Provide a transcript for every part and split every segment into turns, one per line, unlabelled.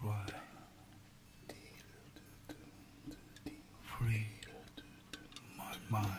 Try free my mind.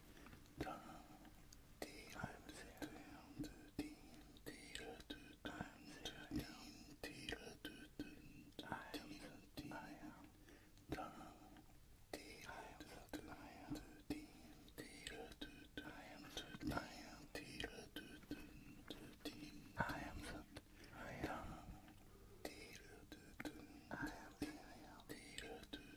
I am the.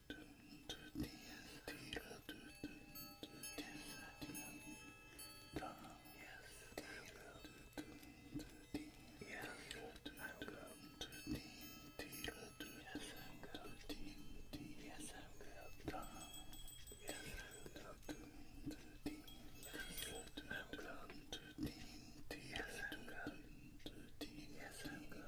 Yes, i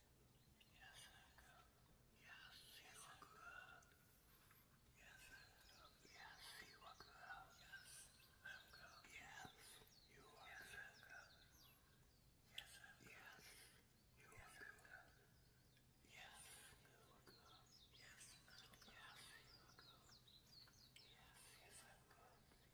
Yes, yes, I'm good.